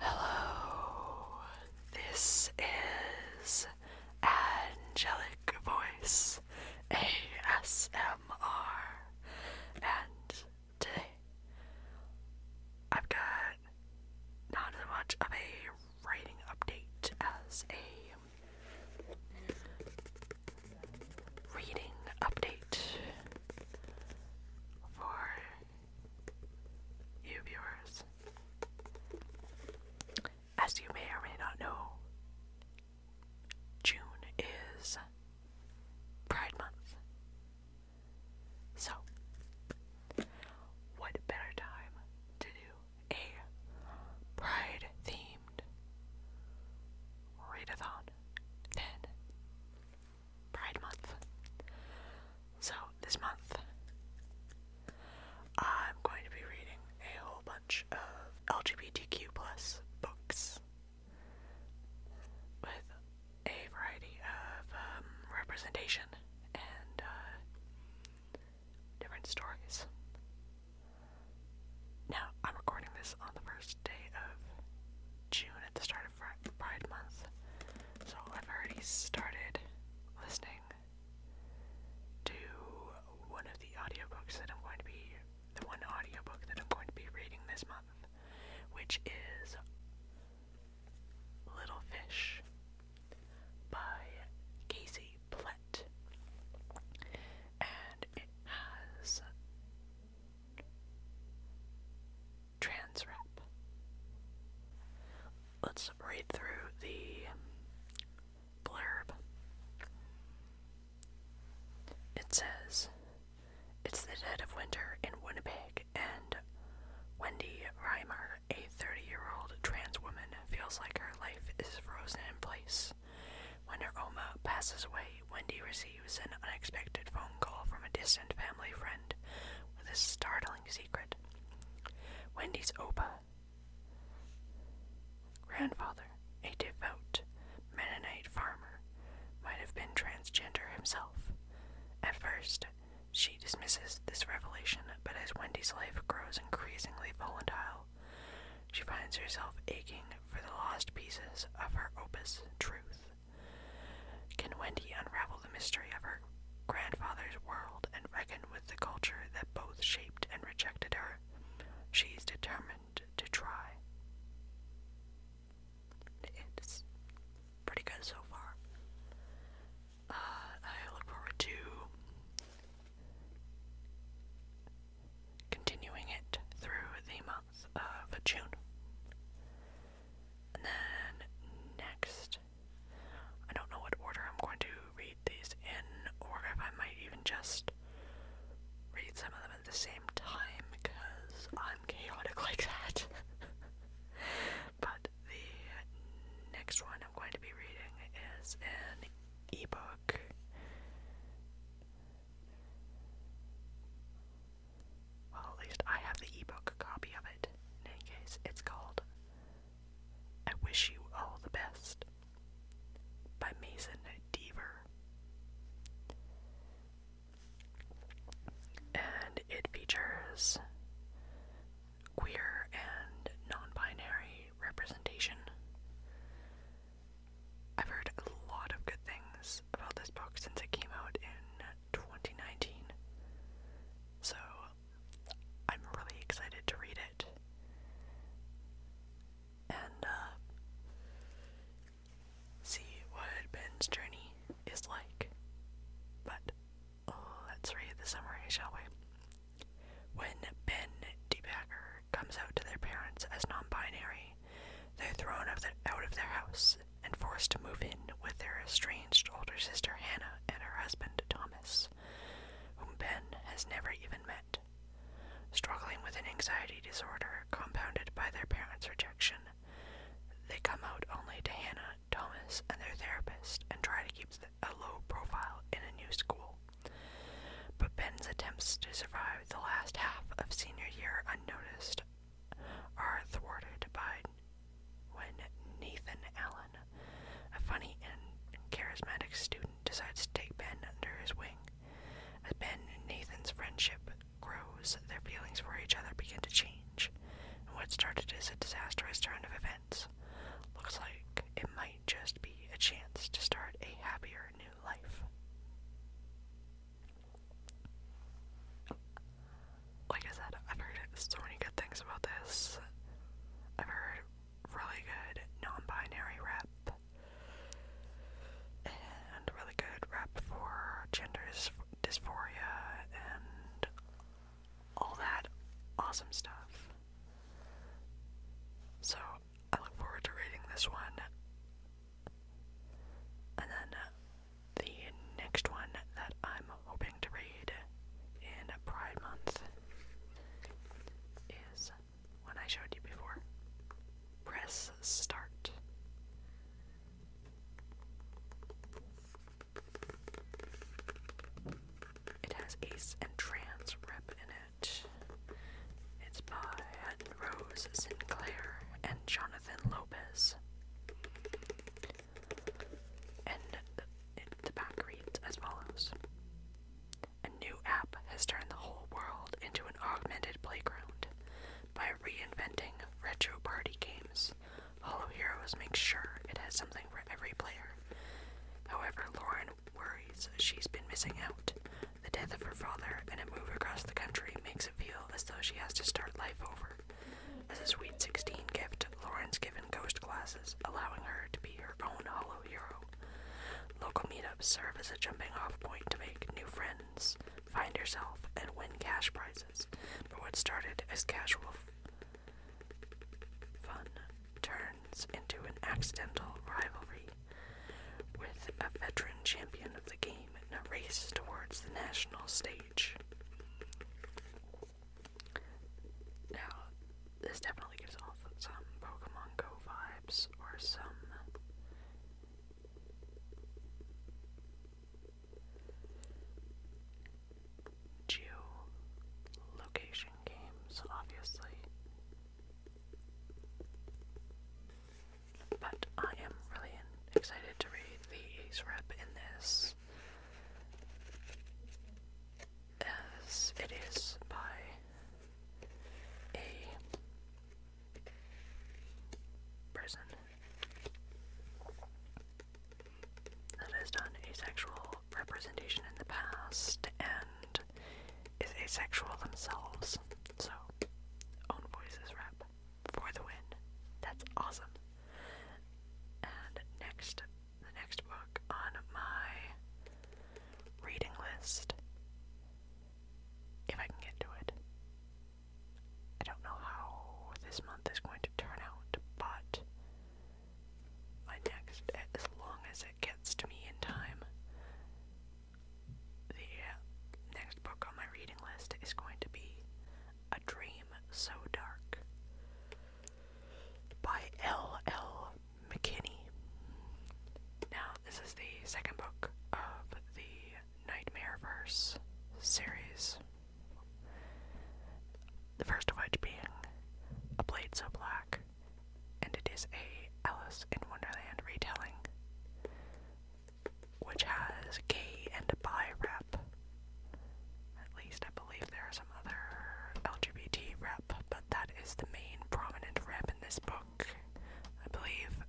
Hello, this is Angelic Voice ASMR, and I've got not as much of a writing update as a reading update for you viewers. As you may or may not know, June is Pride Month. So, what better time to do a Pride theme named Readathon 10 Pride Month. So, this month, I'm going to be reading a whole bunch of LGBTQ plus books with a variety of um, representation and uh, different stories. Now, I'm recording this on the first day of June at the start of Pride Month, so I've already started listening to one of the audiobooks that I'm going to be, the one audiobook that I'm going to be reading this month, which is Little Fish by Casey palette. And it has trans Let's read through the blurb. It says, It's the dead of winter in Winnipeg, and Wendy Reimer, a 30 year old trans woman, feels like her life is frozen in place. When her Oma passes away, Wendy receives an unexpected phone call from a distant family friend with a startling secret. Wendy's Opa, grandfather, a devout Mennonite farmer, might have been transgender himself. At first, she dismisses this revelation, but as Wendy's life grows increasingly volatile she finds herself aching for the lost pieces of her opus, truth. Can Wendy unravel the mystery of her grandfather's world and reckon with the culture that both shaped and rejected her? She's determined to try. It's pretty good so far. Uh, I look forward to continuing it through the month of June. And then next, I don't know what order I'm going to read these in, or if I might even just read some of them at the same time because I'm chaotic like that. but the next one I'm going to be reading is an ebook. Well, at least I have the ebook copy of it. In case, it's called I Wish You All the Best by Mason Deaver. And it features queer and non binary representation. I've heard a lot of good things about this book since it came out in 2019, so I'm really excited to read it. And uh, see what Ben's journey is like. But Let's oh, read the summary, shall we? When Ben DeBacker comes out to their parents as non binary, they're thrown out of their house and forced to move in with their estranged older sister Hannah and her husband Thomas, whom Ben has never even met. Struggling with an anxiety disorder compounded by their parents' rejection, they come out only to Hannah Thomas, and their therapist and try to keep a low profile in a new school. But Ben's attempts to survive the last half of senior year unnoticed are thwarted by when Nathan Allen, a funny and charismatic student, decides to take Ben under his wing. As Ben and Nathan's friendship grows, their feelings for each other begin to change, what started as a disastrous turn of events Looks like it might just be a chance to start a happier new life. Like I said, I've heard so many good things about this. I've heard really good non binary rap and really good rap for gender dysphoria and all that awesome stuff. So I look forward to reading this one. And then uh, the next one that I'm hoping to read in Pride Month is one I showed you before. Press Start. It has Ace and Trans rep in it. It's by Rose Sinclair and Jonathan Lopez. And the back reads as follows A new app has turned the whole world into an augmented playground by reinventing retro party games. Hollow Heroes makes sure it has something for every player. However, Lauren worries she's been missing out. The death of her father and a move across the country makes it feel as though she has to start life over. As a Sweet 16 gift, Lauren's given ghost glasses, allowing her to be her own hollow hero. Local meetups serve as a jumping off point to make new friends, find yourself, and win cash prizes. But what started as casual fun turns into an accidental rivalry with a veteran champion of the game in a race towards the national stage. Now, this definitely gives off some Pokemon Go vibes or some Geolocation games, obviously. But I am really excited to read the ace rep in this, as it is by a person that has done asexual representation in the past and is asexual themselves. So, own voices rep for the win. That's awesome. And next, the next book on my reading list, if I can get to it, I don't know how this month is going to turn out, but my next, as long as it gets to me in time, the next book on my reading list is going to be A Dream So Dark by L. L. McKinney. Now, this is the second book of the Nightmare Verse series. The first of which being A Blade So Black, and it is a Alice in Wonderland retelling, which has gay and bi rep. At least I believe there are some other LGBT rep, but that is the main prominent rep in this book, I believe.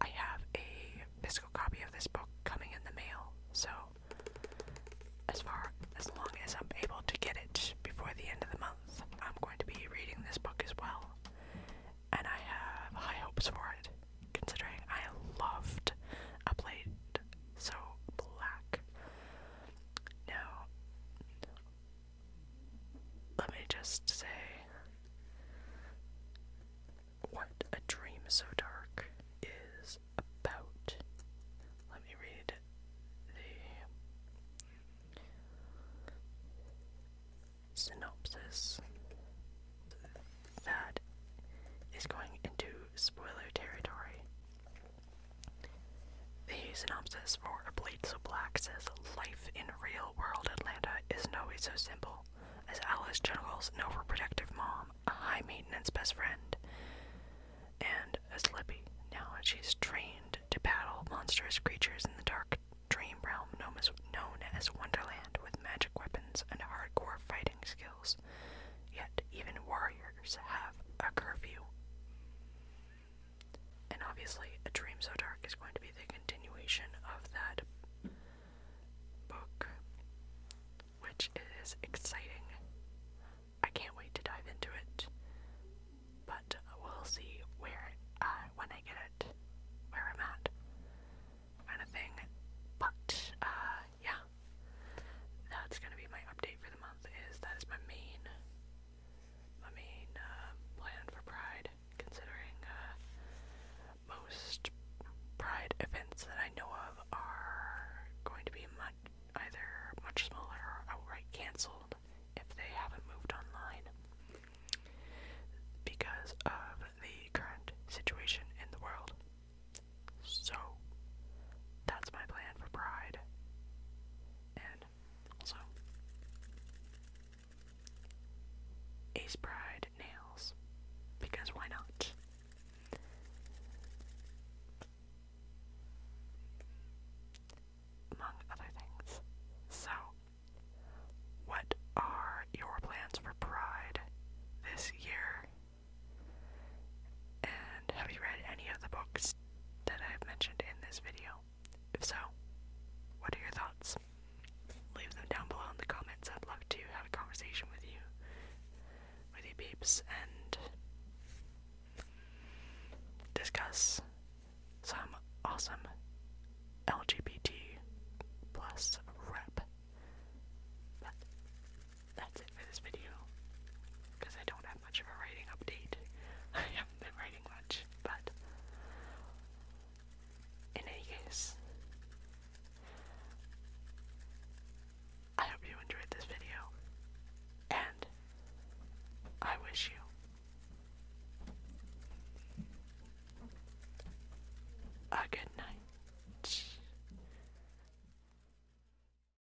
I have a physical copy of this book coming in the mail, so as far as long as I'm able to get it before the end of the month, I'm going to be reading this book as well. And I have high hopes for it, considering I loved *A Blade so black. Now let me just say what a dream so dark is about. Let me read the synopsis that is going into spoiler territory. The synopsis says more oblate, so black says life in real world Atlanta is no way so simple as Alice juggles an overprotective mom, a high maintenance best friend, and a slippy. Now she's trained to battle monstrous creatures in the dark dream realm known as, known as Wonderland with magic weapons and hardcore fighting skills. Yet even warriors have a curfew. And obviously, A Dream So Dark is going to be the continuation of that book, which is exciting. I can't wait to dive into it, but we'll see where uh, when I get it, where I'm at, kind of thing. But uh, yeah, that's gonna be my update for the month. Is that is my main I mean, uh, plan for Pride, considering uh, most Pride events that I know of are going to be much, either much smaller or outright cancelled if they haven't moved online because of the current situation in the world. So, that's my plan for Pride. And also, Ace Pride nails. Because why not? Among other things. So, what are your plans for Pride this year? And have you read any of the books that I have mentioned in this video? If so, what are your thoughts? Leave them down below in the comments. I'd love to have a conversation with you, with you peeps, and discuss some awesome LGBT plus rep. But that's it for this video because I don't much of a writing update. I haven't been writing much, but in any case, I hope you enjoyed this video, and I wish you a good night.